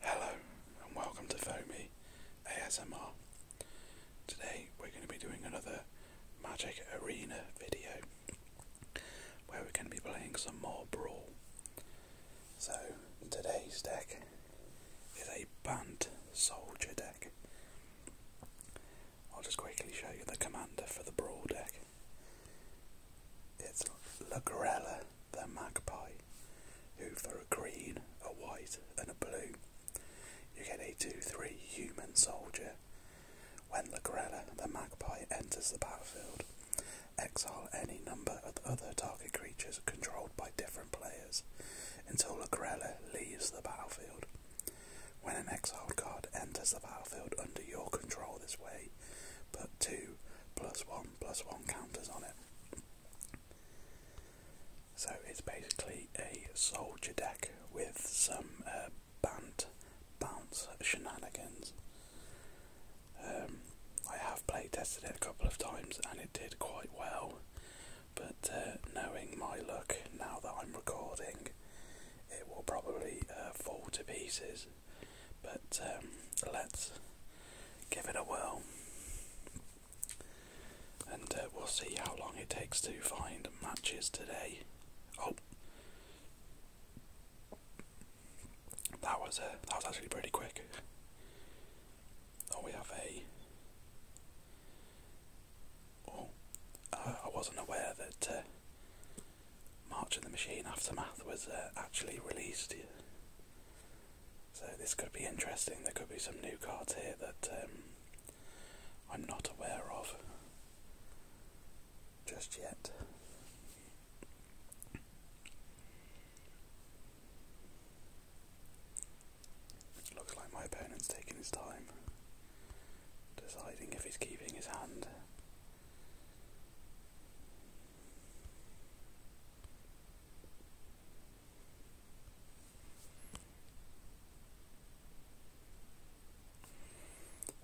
Hello and welcome to Foamy ASMR. Today we're going to be doing another Magic Arena video where we're going to be playing some more Brawl. So today's deck is a Band Soldier deck. I'll just quickly show you the commander for the Brawl deck. It's Lagrella the magpie, who for a green, a white, and a blue, you get a 2-3 human soldier. When Lagrella, the magpie, enters the battlefield, exile any number of other target creatures controlled by different players until Lagrella leaves the battlefield. When an exiled card enters the battlefield under your control this way, but two plus one plus one counters on it. So it's basically a soldier deck with some uh, band bounce shenanigans. Um, I have play tested it a couple of times and it did quite well, but uh, knowing my luck now that I'm recording, it will probably uh, fall to pieces but um, let's give it a whirl and uh, we'll see how long it takes to find matches today. Oh, that was uh, that was actually pretty quick. Oh, we have a. Oh, uh, I wasn't aware that uh, March of the Machine Aftermath was actually released so this could be interesting. There could be some new cards here that um, I'm not aware of just yet. Looks like my opponent's taking his time, deciding if he's keeping his hand.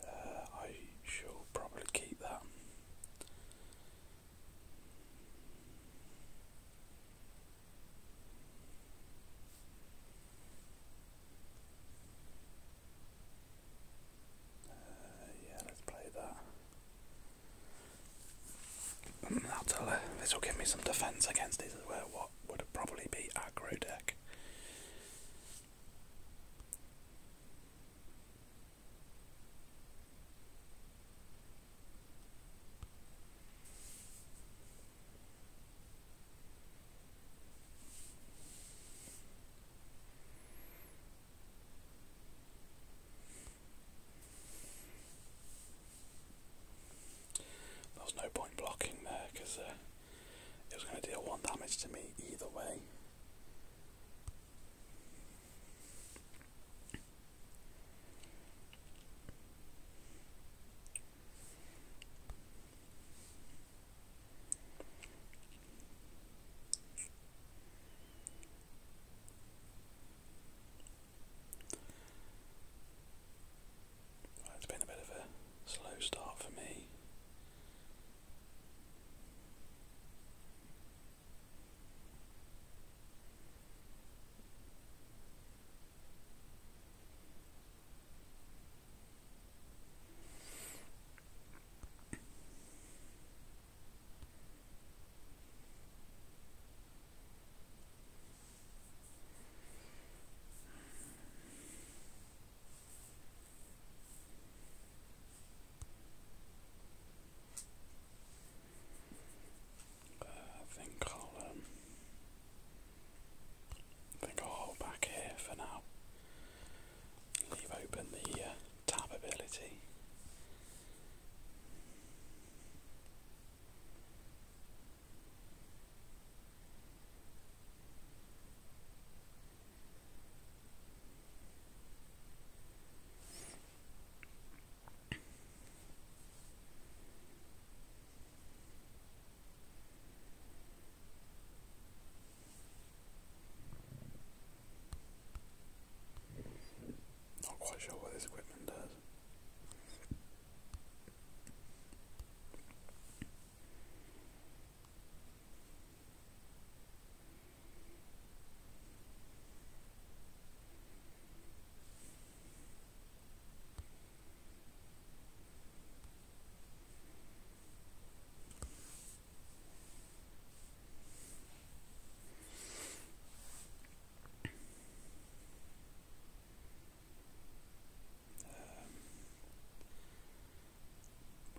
Uh, I shall probably keep that. Uh, yeah, let's play that. That'll, uh, this will give me some defense against his, uh, what would probably be aggro deck. There was no point blocking there because uh, it was going to deal one damage to me either way it's been a bit of a slow start for me. Uh, I think I'll um, think I'll hold back here for now. Leave open the uh, tab ability. Not quite sure what this equipment does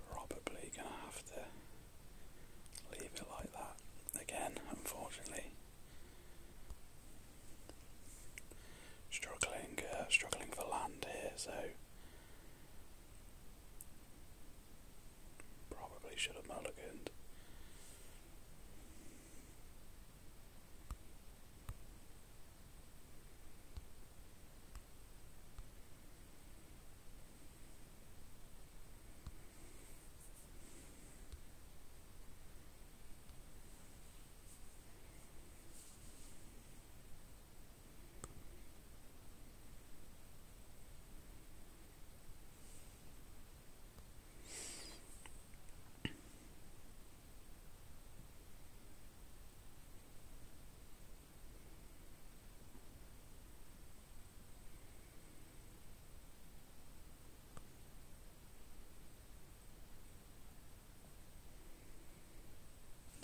probably gonna have to leave it like that again, unfortunately. Struggling, uh, struggling for land here, so Probably should have mulliganed.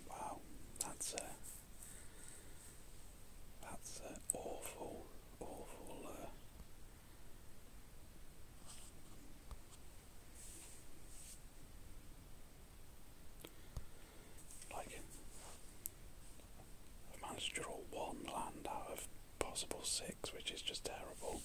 Wow, that's uh, that's an awful, awful. Uh, like, I've managed to draw one land out of possible six, which is just terrible.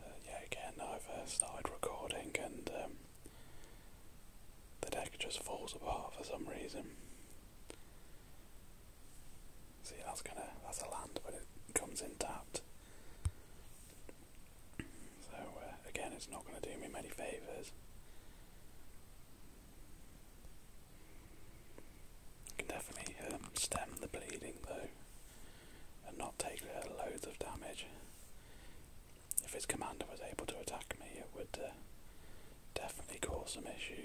Uh, yeah, again, I've started recording and um, the deck just falls apart for some reason. See, that's gonna that's a land, but it comes in tapped. So uh, again, it's not gonna do me many favors. I can definitely um, stem the bleeding though, and not take uh, loads of damage. If his commander was able to attack me, it would uh, definitely cause some issues.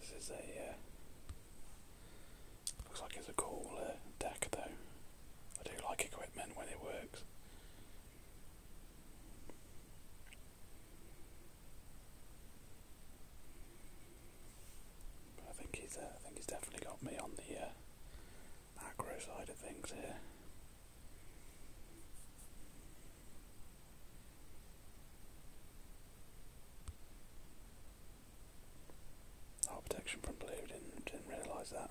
This is a uh, looks like it's a cool deck though. I do like equipment when it works. I think he's, uh, I think he's definitely got me on the macro uh, side of things here. Oh, protection from blue. Didn't didn't realise that.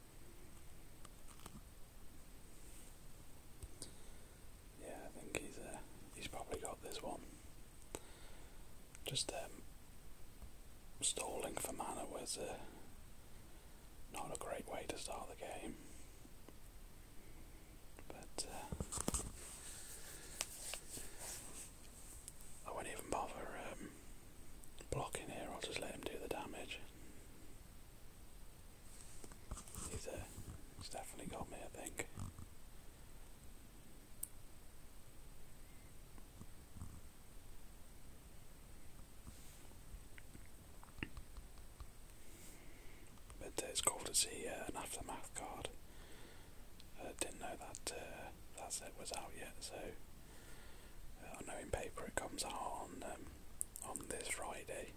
Yeah, I think he's uh, he's probably got this one. Just um, stalling for mana was uh, not a great way to start the game. But uh, I won't even bother um, blocking here, I'll just let him do the damage. Uh, he's, definitely got me, I think. But uh, it's cool to see uh, an aftermath card. I didn't know that that set was out yet, so I know in paper it comes out on um, on this Friday.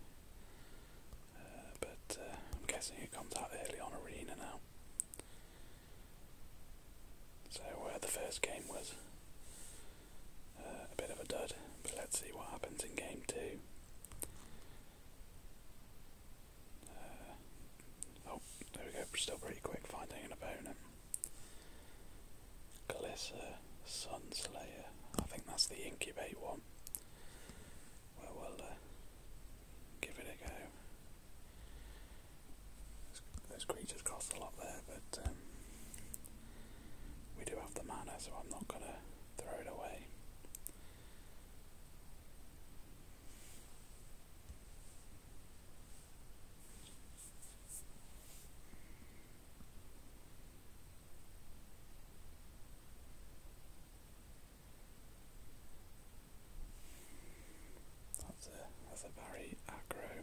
Uh, but uh, I'm guessing it comes out early on Arena now. So where the first game was uh, a bit of a dud, but let's see what happens in game two. oh, there we go, still pretty quick finding an opponent. Glissa, Sunslayer. I think that's the incubate one. Well, uh, give it a go. Those creatures cost a lot there, but um, we do have the mana, so I'm not going to throw it away. That's a very aggro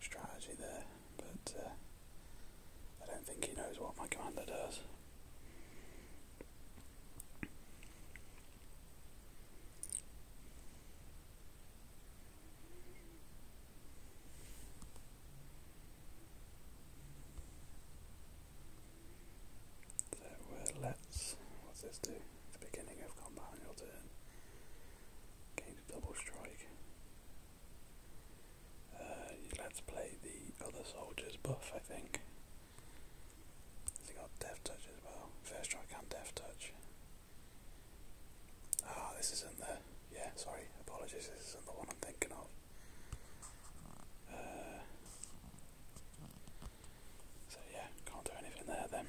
strategy there, but uh, I don't think he knows what my commander does. So uh, let's, what's this do? the beginning of combat on your turn. Gain double strike. Uh, let's play the other soldier's buff, I think. Has got death touch as well? First strike and death touch. Ah, this isn't the. Yeah, sorry, apologies, isn't the one I'm thinking of. Uh, so, yeah, can't do anything there then.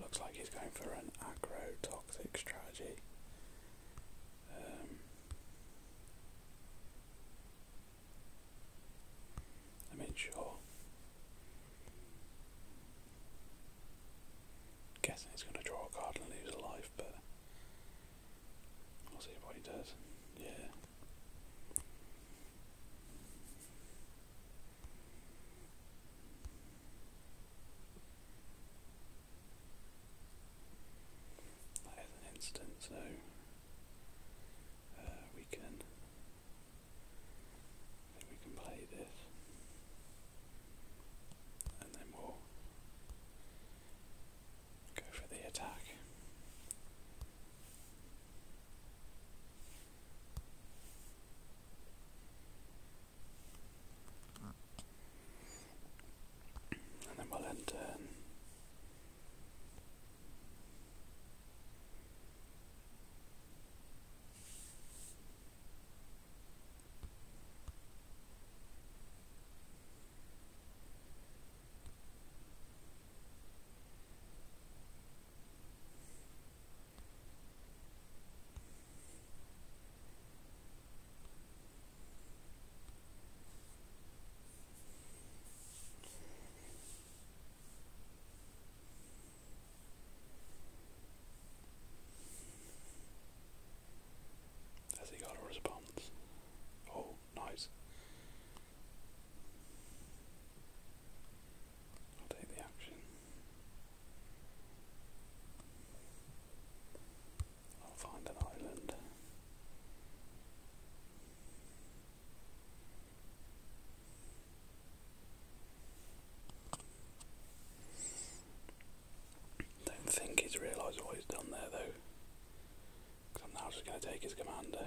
Looks like he's going for an aggro toxic strategy. Um, I mean, sure. Guessing he's going to draw a card and lose a life, but we'll see what he does. Yeah. That is an instance, So uh, we can. we can play this, and then we'll go for the attack. And then we'll end. Uh, has he got a response? Oh, Nice. I'll take the action. I'll find an island. Don't think he's realised what he's done there though. Because I'm now just going to take his commander.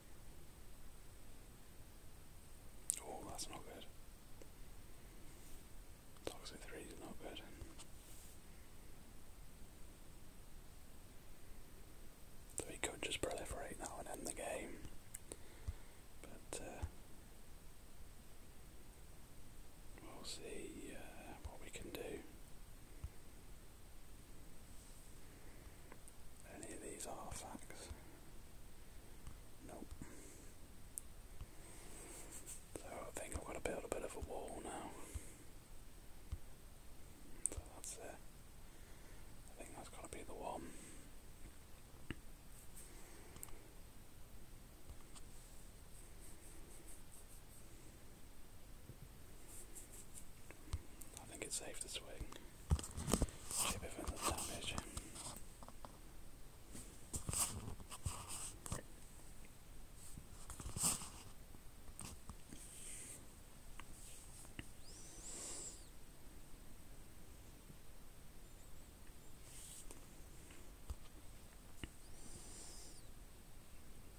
Oh, that's not good. Toxic 3 is not good. So could just proliferate now and end the game. But, uh, we'll see uh, what we can do. Any of these artifacts. Nope. So I think I've got to build a bit of a wall now. So that's it. I think that's to be the one. I think it's safe to swing. Keep it from the damage.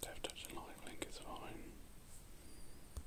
Death touch and lifelink is fine.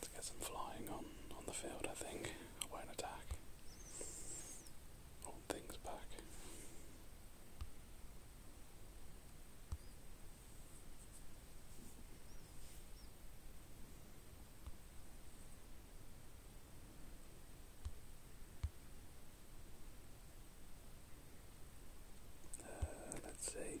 Let's get some flying on on the field. I think away an attack. Hold things back. Uh, let's see.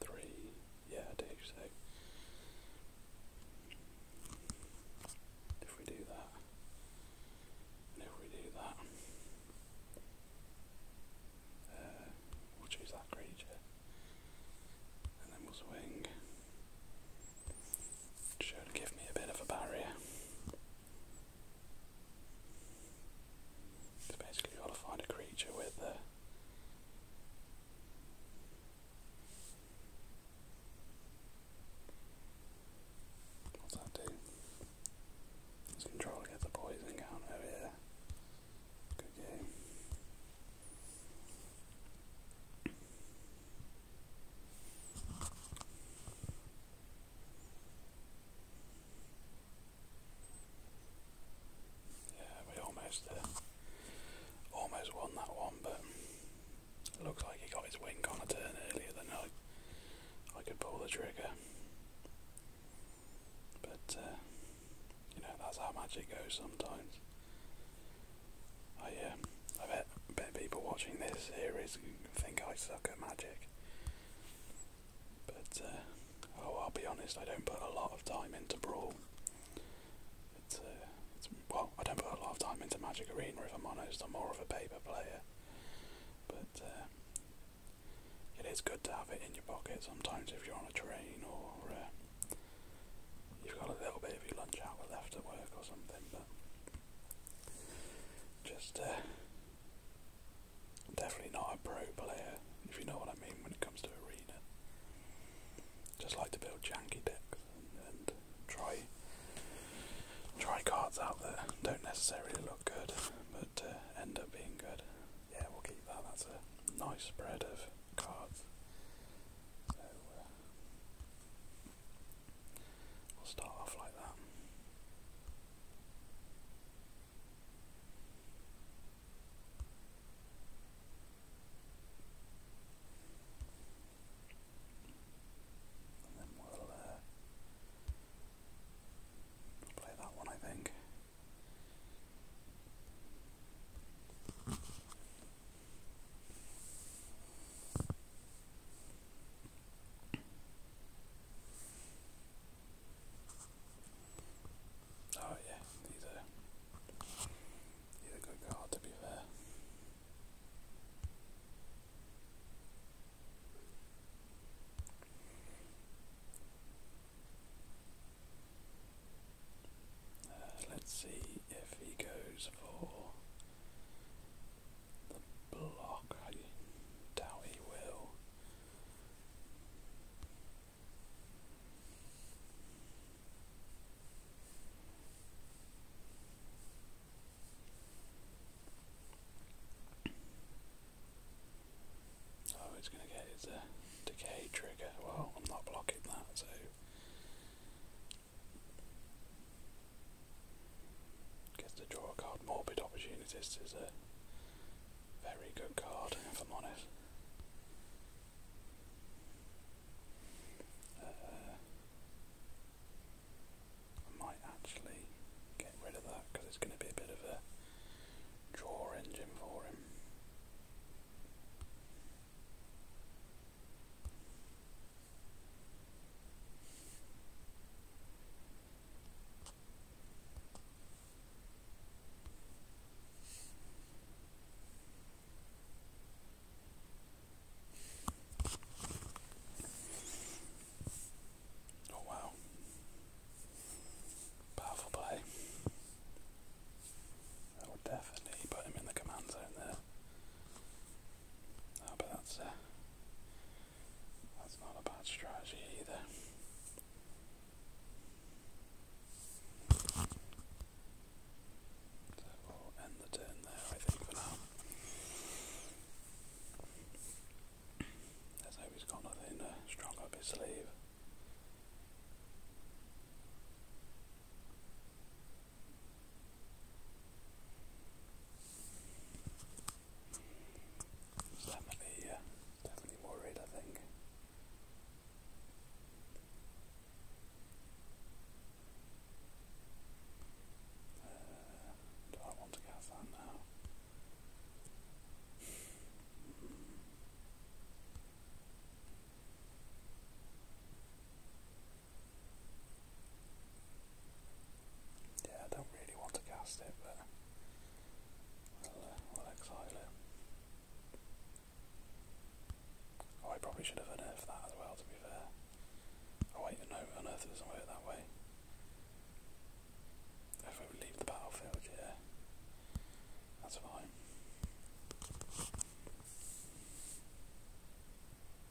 Three, yeah, I do, so if we do that, if we do that, uh, we'll choose that creature, and then we'll swing. Should give me a bit of a barrier. basically, you got to find a creature with a. Uh, what's that do? His controller gets poison counter here. Good game. Yeah, we almost uh, almost won that one, but looks like he got his wing on a turn earlier than I I could pull the trigger. But uh, you know that's how magic goes sometimes. I, uh, oh, I bet, bet people watching this series think I suck at magic. But, uh, oh, I'll be honest, I don't put a lot of time into Brawl. Uh, well, I don't put a lot of time into Magic Arena, if I'm honest. I'm more of a paper player. But, uh, it is good to have it in your pocket sometimes if you're on a train or you've got a little bit of your lunch hour left at work or something, but just uh, definitely not a pro player, if you know what I mean, when it comes to arena. Just like to build janky decks and, try try cards out that don't necessarily look good, but uh, end up being good. Yeah, we'll keep that. That's a nice spread of cards. Uh, we will start off like that. And then we'll uh, play that one, I think. Oh yeah, these are good card to be fair. Uh, let's see if he goes for the block, I doubt he will. Oh, it's going to get his decay trigger. Well, I'm not blocking that, so Gets to draw a card. Morbid Opportunist is a very good card, if I'm honest. Uh, I might actually get rid of that because it's going to be a bit of a draw engine for him. Oh, wow. Powerful play. I would definitely put him in the command zone there but that's a uh, that's not a bad strategy either. So we'll end the turn there, I think, for now. Let's hope he's got nothing uh, strong up his sleeve definitely, yeah, definitely more red, I think. do uh, I want to get that now? Yeah, I don't really want to cast it, but we'll, we'll uh, exile it. Oh, I probably should have unearthed that as well, to be fair. Oh wait, no, unearth doesn't work that way. If we leave the battlefield, yeah, that's fine.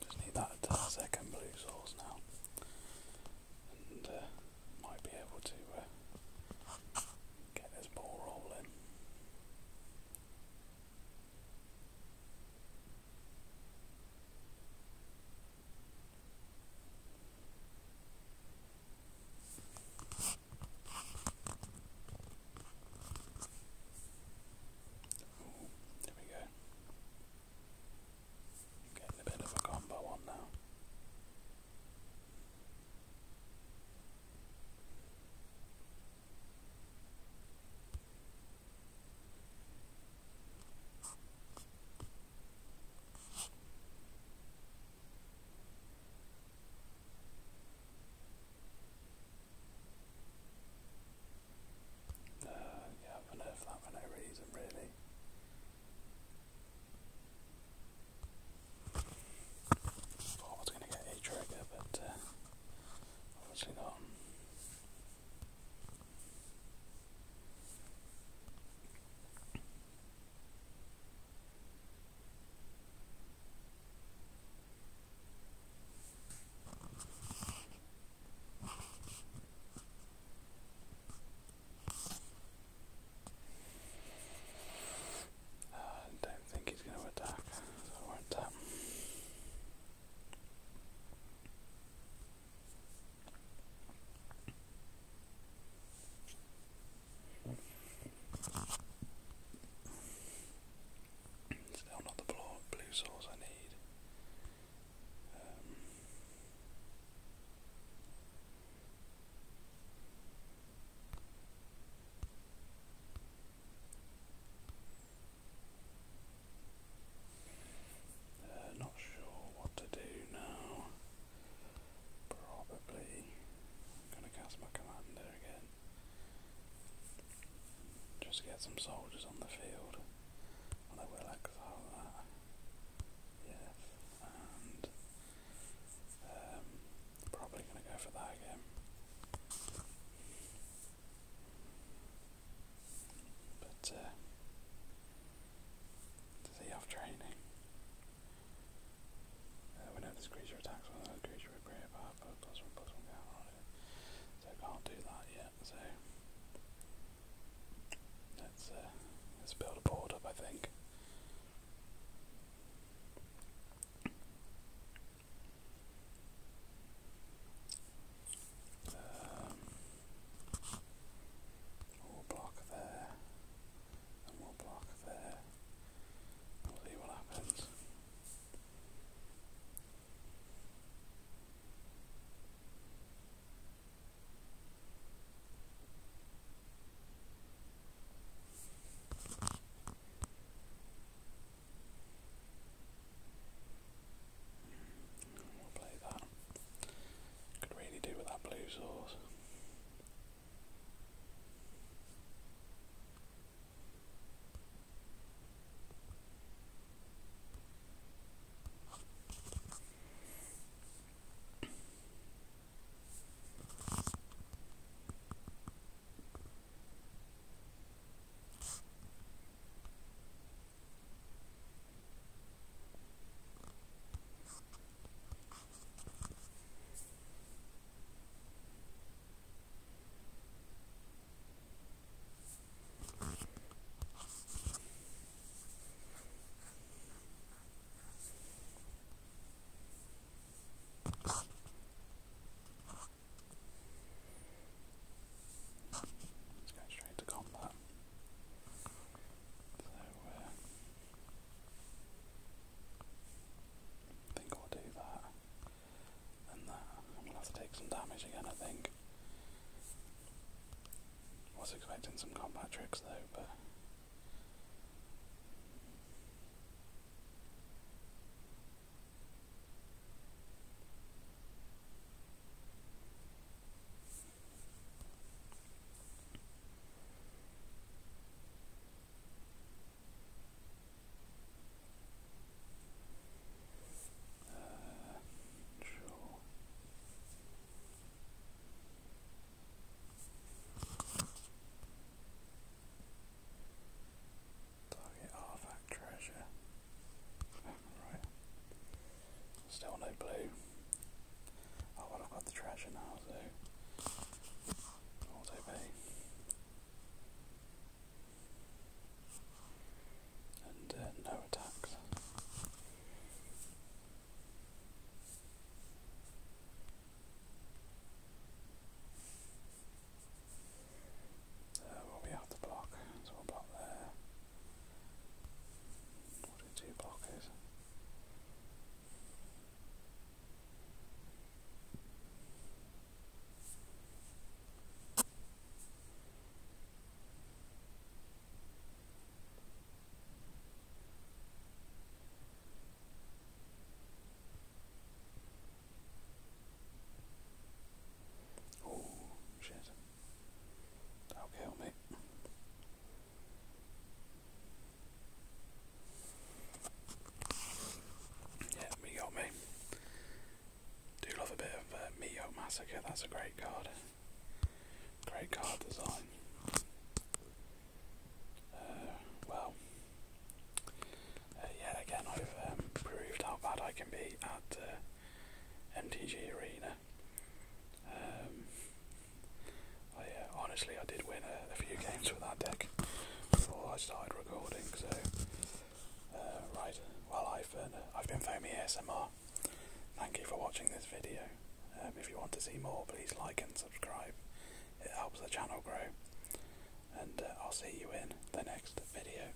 Just need that second blue sauce now, and uh, might be able to uh, get this ball rolling. Oh, there we go. Getting a bit of a combo on now. Uh, yeah, I've that for no reason, really. Thought I was going to get a trigger, but uh, obviously not. I don't think he's going to attack, so I won't Still not the blue sauce I need. Um, uh, not sure what to do now. Probably gonna cast my commander again. Just get some soldiers on the field. Well, I will exile that. Yes, and um, probably gonna go for that again. But uh, to see have training. Uh, we know this creature attacks one another creature with greater power, but plus one plus one can't So can't do that yet, so let's uh, let's build a board up I think. Um, we'll block there, and we'll block there. We'll see what happens we Could really do with that blue sauce. Let's go straight to combat. Uh, I think I'll do that and that. I'm gonna have to take some damage again, I think. was expecting some combat tricks though, but sure. Target artifact treasure. Right. Still no blue. Oh well, i the treasure now, so auto pay. And uh, no attacks. Uh, well, we have to block, so we'll block there. What did two block is? Oh, shit. That'll me. Yeah, me got me. Do love a bit of uh, Massacre, that's a great card. Great card design. Uh, well, uh, yeah, again, I've um, proved how bad I can be at uh, Arena. Um, uh, honestly, I did win a, few games with that deck before I started recording. So, uh, right, well, I've been, uh, I've been Foamy ASMR. Thank you for watching this video. Um, if you want to see more, please like and subscribe. It helps the channel grow. And uh, I'll see you in the next video.